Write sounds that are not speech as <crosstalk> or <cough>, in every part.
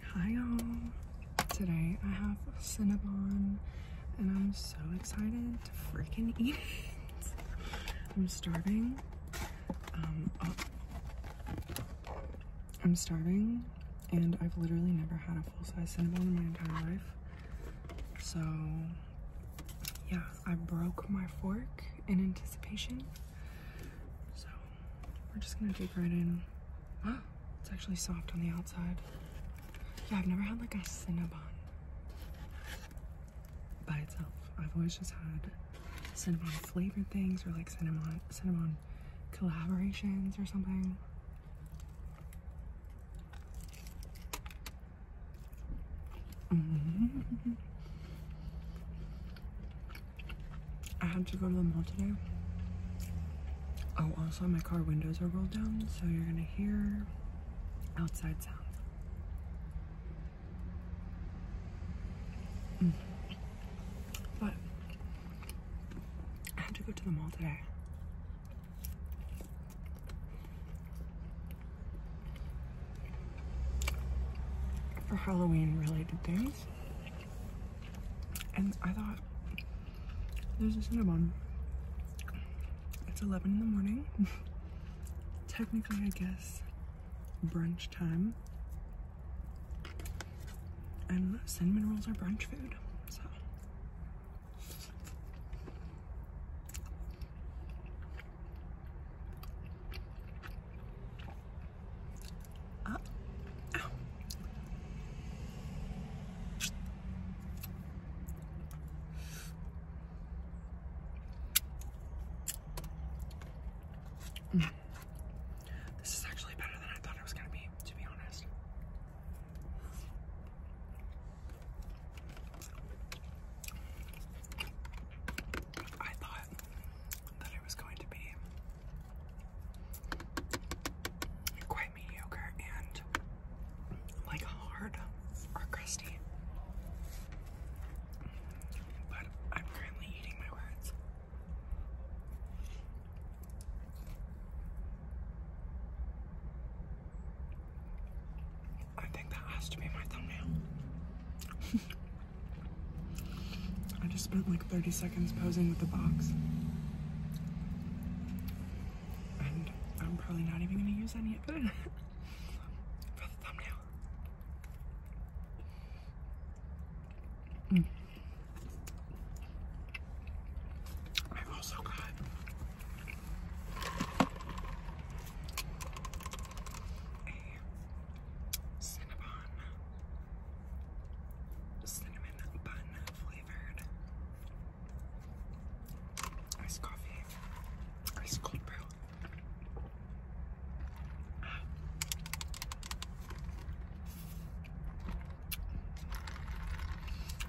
Hi y'all! Today I have Cinnabon and I'm so excited to freaking eat it. <laughs> I'm starving. Um, oh. I'm starving and I've literally never had a full-size Cinnabon in my entire life. So yeah, I broke my fork in anticipation. So we're just gonna dig right in. <gasps> It's actually soft on the outside. Yeah, I've never had like a Cinnabon by itself. I've always just had cinnamon flavored things or like cinnamon cinnamon collaborations or something. Mm-hmm. <laughs> I had to go to the mall today. Oh, also, my car windows are rolled down, so you're gonna hear outside sounds. Mm. But I have to go to the mall today. For Halloween related things. And I thought, there's a Cinnabon. It's 11 in the morning. <laughs> Technically, I guess, brunch time. And cinnamon rolls are brunch food, so. Uh, This is actually better than I thought it was going to be, to be honest. I thought that it was going to be quite mediocre and like hard or crusty. But I'm currently eating my words. I think that has to be my thumbnail. <laughs> I just spent like 30 seconds posing with the box. And I'm probably not even gonna use any of it <laughs> for the thumbnail. Mm. I also got cinnamon bun flavored iced coffee, iced cold brew. I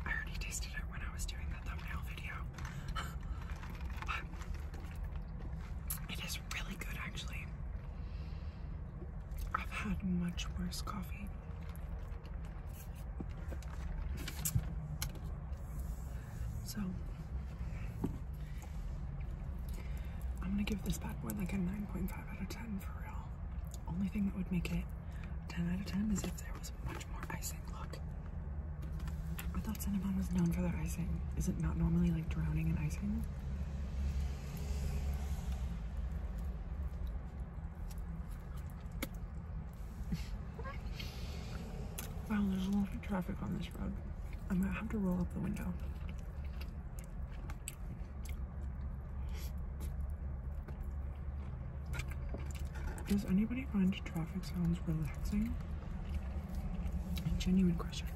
already tasted it when I was doing the thumbnail video. <laughs> but it is really good actually. I've had much worse coffee. So I'm gonna give this bad boy like a 9.5 out of 10 for real. Only thing that would make it 10 out of 10 is if there was much more icing. Look. I thought Cinnabon was known for their icing. Is it not normally like drowning in icing? wow, there's a lot of traffic on this road. i might have to roll up the window. Does anybody find traffic sounds relaxing? genuine question.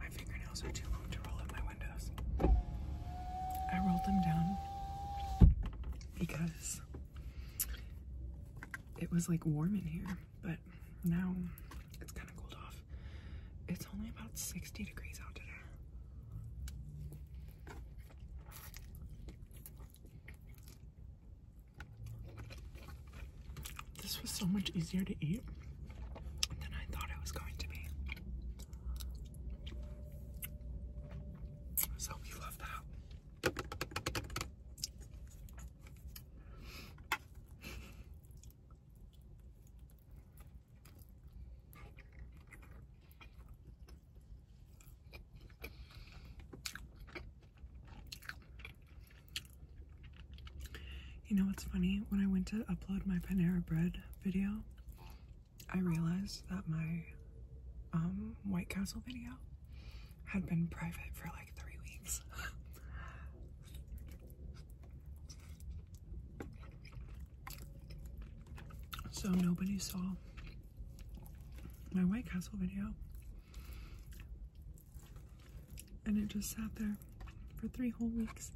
My fingernails are too long to roll up my windows. I rolled them down because it was like warm in here, but now it's kind of cooled off. It's only about 60 degrees out today. This was so much easier to eat than I thought it was going to be. So we love that. You know what's funny? When I went to upload my Panera Bread video, I realized that my um, White Castle video had been private for like three weeks. <laughs> So nobody saw my White Castle video. And it just sat there for three whole weeks.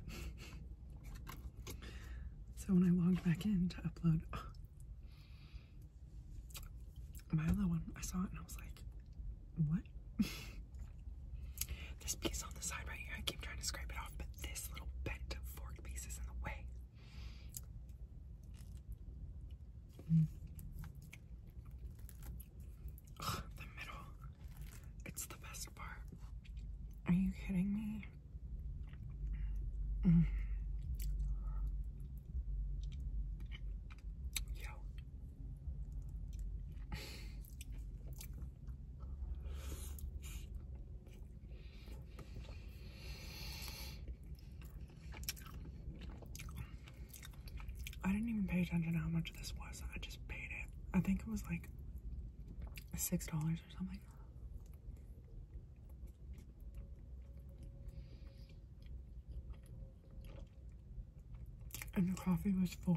<laughs> so when I logged back in to upload <gasps> my other one, I saw it and I was like, what? <laughs> this piece on the side right here, I keep trying to scrape it off, but this little bent fork piece is in the way. Mm. the middle. It's the best part. Are you kidding me? Mm. I didn't even pay attention to how much this was. I just paid it. I think it was like six dollars or something and the coffee was four.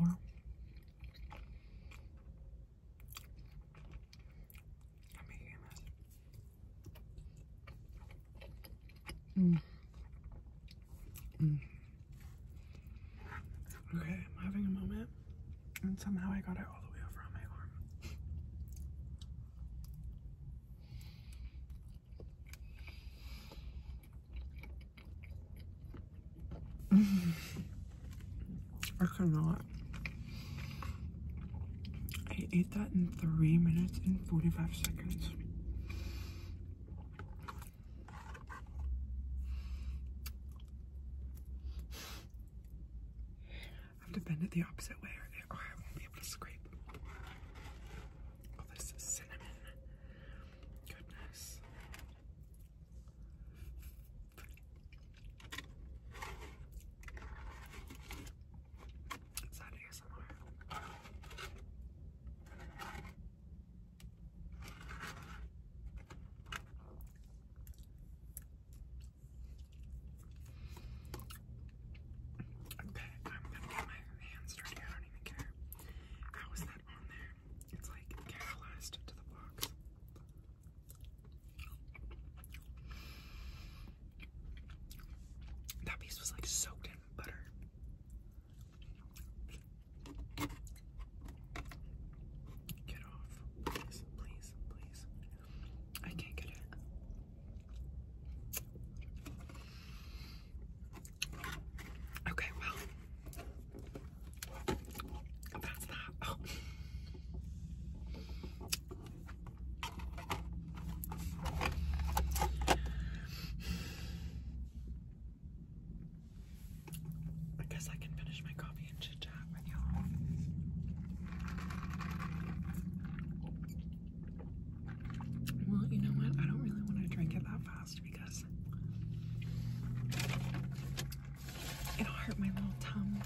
I'm mm. mm. Okay, I'm having a moment, and somehow I got it all the way over on my arm. <sighs> I cannot. I ate that in three minutes and 45 seconds. I <sighs> have to bend it the opposite way or I won't be able to scrape all oh, this cinnamon. Goodness. Okay, I'm gonna get my hands dirty. I don't even care. How is that on there? It's like catalyzed to the box. That piece was like soaked in butter. Get off. Please, please, please. I can't get it. Okay, well, that's that. Oh. I guess I can finish my coffee and chit chat with y'all. Well, you know what? I don't really want to drink it that fast because it'll hurt my little tongue.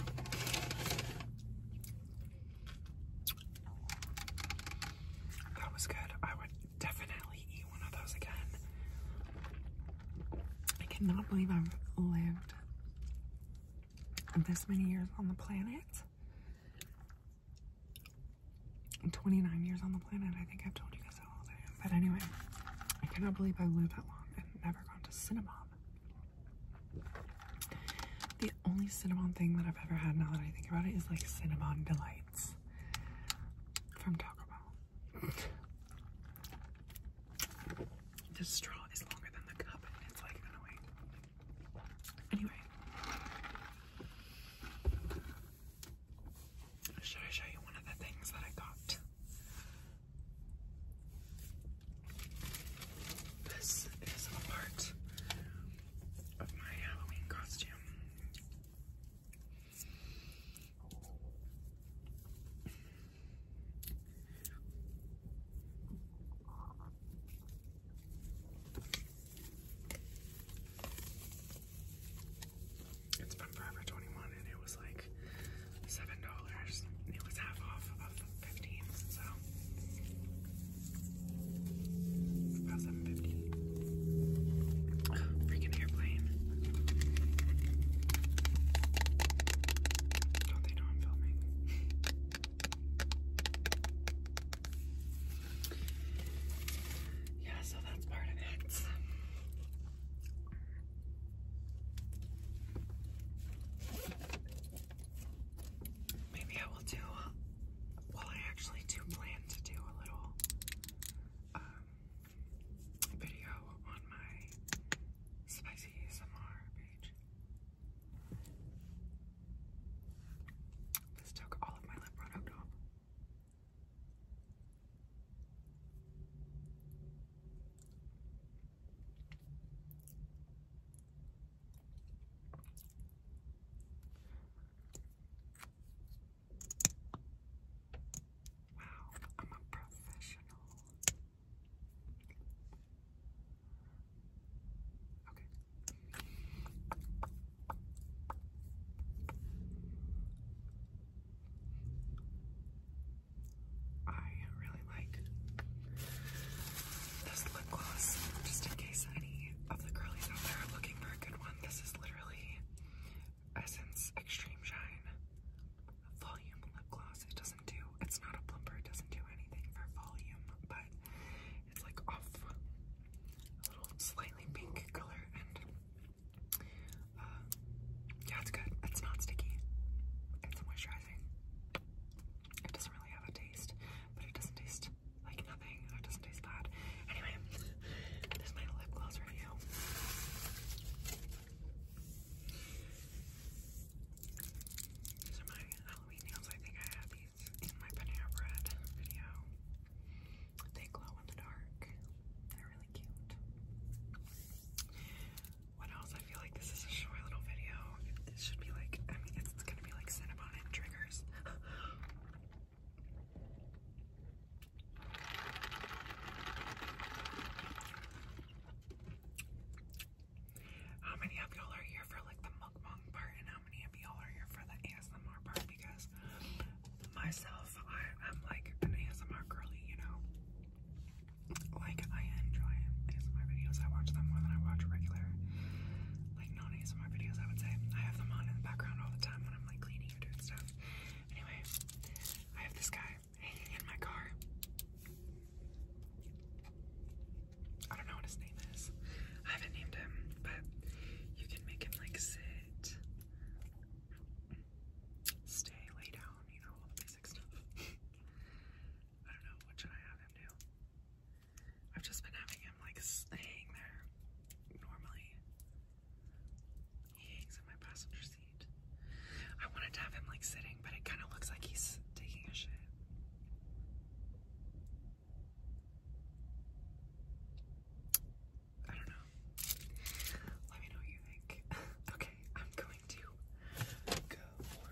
That was good. I would definitely eat one of those again. I cannot believe I've lived this many years on the planet 29 years on the planet. I think I've told you guys how old I am. But anyway, I cannot believe I lived that long and never gone to Cinnabon. The only Cinnabon thing that I've ever had now that I think about it is like Cinnabon Delights from Taco Bell. the straw is longer than the cup and it's like annoying. Anyway, should I show you one of the things that I got? This is a part of my Halloween costume. It's from Forever 21 and it was like $7. It was half off of 15 so about 750 Ugh, freaking airplane. Don't they know I'm filming? <laughs> Yeah, so that's part of it. Maybe I will do, well, I actually do plan to do a little um, video on my spicy ASMR page. This took all of my lip product off. Wow, I'm a professional. Okay. I really like this lip gloss, just in case any of the girlies out there looking for a good one. This is literally Essence Extreme Shine Volume Lip Gloss. It doesn't do, it's not a plumper, it doesn't do anything for volume, but it's like off a little slightly pink color and uh, yeah, it's good. It's not sticky. It's moisturizing. It doesn't really have a taste, but it doesn't taste like nothing. It doesn't taste bad. Anyway, this is my lip gloss review. These are my Halloween nails. I think I had these in my Panera Bread video. They glow in the dark. They're really cute. What else? I feel like this is a short little video. It should be like, I mean, it's gonna be like Cinnabon and triggers. <laughs> How many of y'all are here for like the mukbang part? how many of y'all are here for the ASMR part because myself, I, I'm like an ASMR girly, you know. Like I enjoy ASMR videos. I watch them more than I watch regular, like non-ASMR videos. I would say I have them on in the background all the time when I'm like cleaning or doing stuff. Anyway, I have this guy hanging in my car. I don't know what his name is. I haven't named him, but you can make him like sit, stay, lay down, you know, all the basic stuff. <laughs> I don't know, what should I have him do? I've just been having him like staying there. Normally, he hangs in my passenger seat. I wanted to have him like sitting, but it kind of looks like he's taking a shit. I don't know. Let me know what you think. <laughs> okay, I'm going to go a little bit more on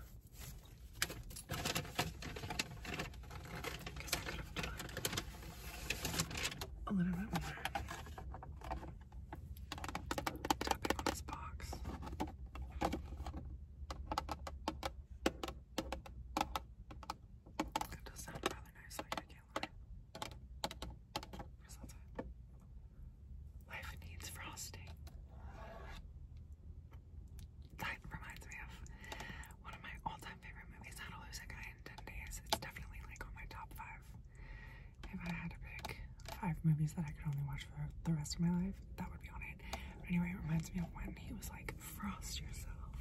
this box. It does sound rather nice, like I can't lie. Life needs frosting. That reminds me of one of my all-time favorite movies, How to Lose a Guy in 10 Days. It's definitely like on my top five. If I had to pick five movies that I could only watch for the rest of my life, that would be on it. anyway, it reminds me of when he was like, frost yourself.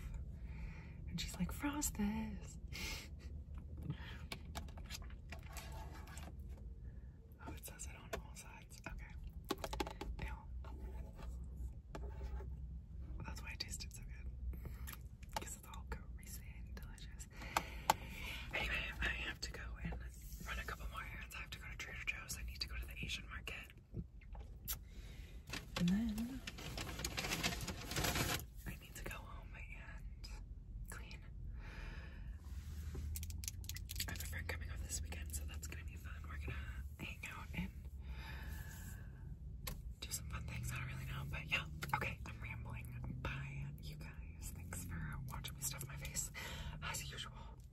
And she's like, frost this. <laughs> oh, it says it on all sides. Okay. Ew. That's why it tasted so good. Because it's all greasy and delicious. Anyway, I have to go and run a couple more errands. I have to go to Trader Joe's. I need to go to the Asian market. And then I need to go home and clean. I have a friend coming over this weekend, so that's gonna be fun. We're gonna hang out and do some fun things. I don't really know, but yeah. Okay, I'm rambling. Bye, you guys. Thanks for watching me stuff my face as usual.